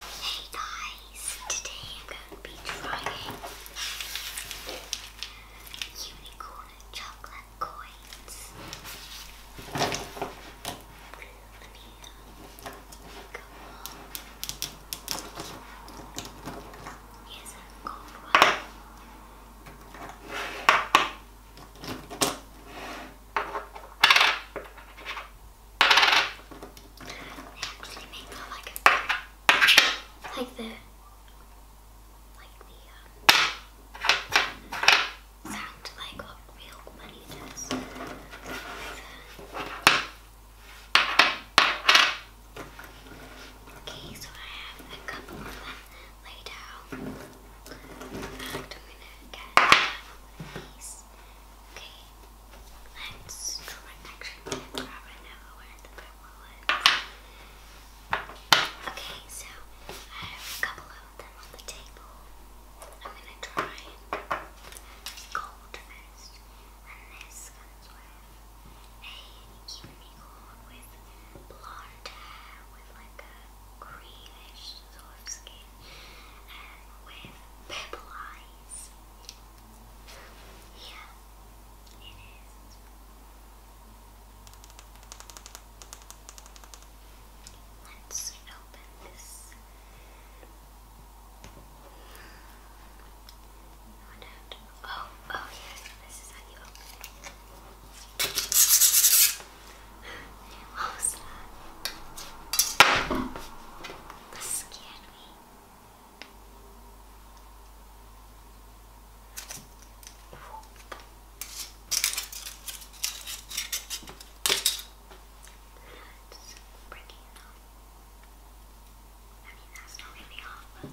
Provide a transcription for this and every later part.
Hey guys, today I'm going to be trying unicorn chocolate coins. Let me gold like the like the um, sound like what real money does. Okay, so I have a couple of them laid out. In fact, I'm gonna get these. Okay, let's go actually I'm gonna grab it now the big wallet. Okay, so I have a couple of them on the table. I'm gonna try gold first. And comes with a unicorn with blonde hair with like a greenish sort of skin uh, with purple eyes. Here it is. Let's open this. Oh, oh yes, this is how you open it. What was that? That scared me. It's breaking now. I mean, that's not really hard,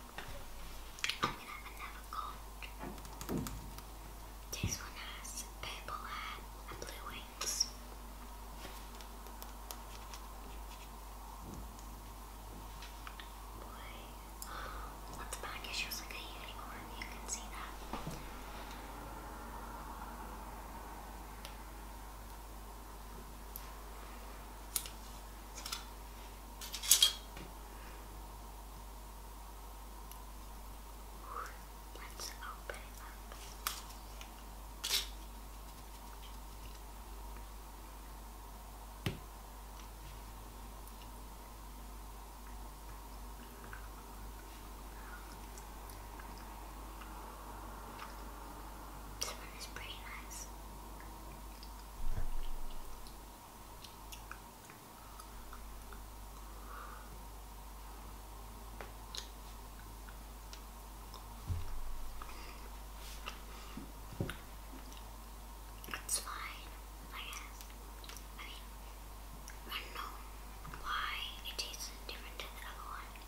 I'm gonna have another gold. This one has purple hair and blue wings. Boy, oh, at the back it shows you can see that. Let's open it up. This one is pretty nice. It's fine, I guess. I mean, I don't know why it tastes different than the other one.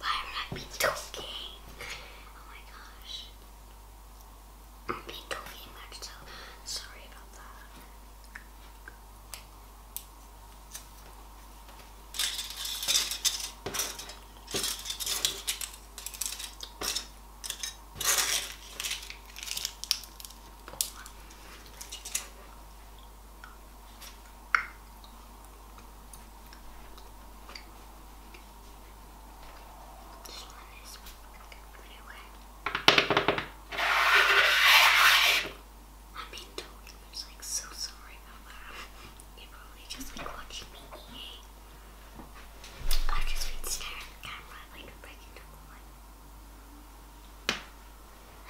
Why would I be talking? Oh my gosh. I've been talking much, sorry about that. This one is pretty wet. I mean, don't you was like so sorry about You're probably just like watching me eat. i just been at the camera like a breaking double.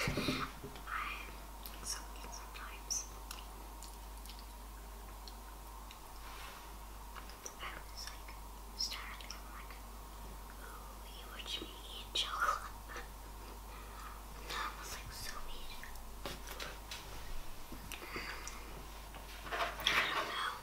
I'm so sometimes. I was like startled, I'm like, you watch me eat chocolate. and was like so weird. I don't know.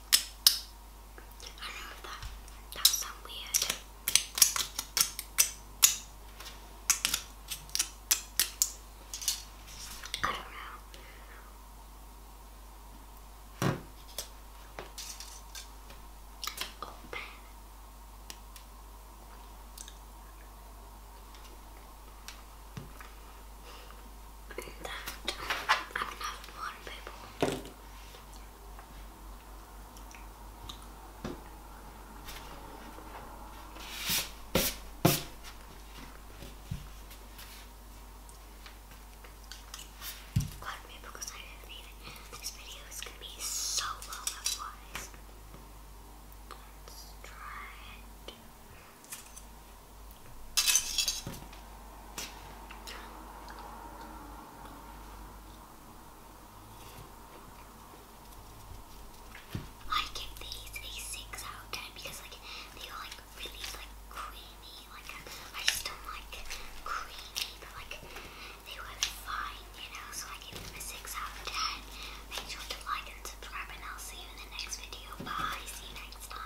I don't know that that sound weird. I don't know. Open that I'm have more people. God, me because I didn't even. This video is gonna be so long otherwise. Let's try it. I give these a six out of ten because like they are like really like creamy. Like I just don't like creamy, but like they were fine, you know. So I gave them a six out of ten. Make sure to like and subscribe, and I'll see you in the next video. Bye. See you next time.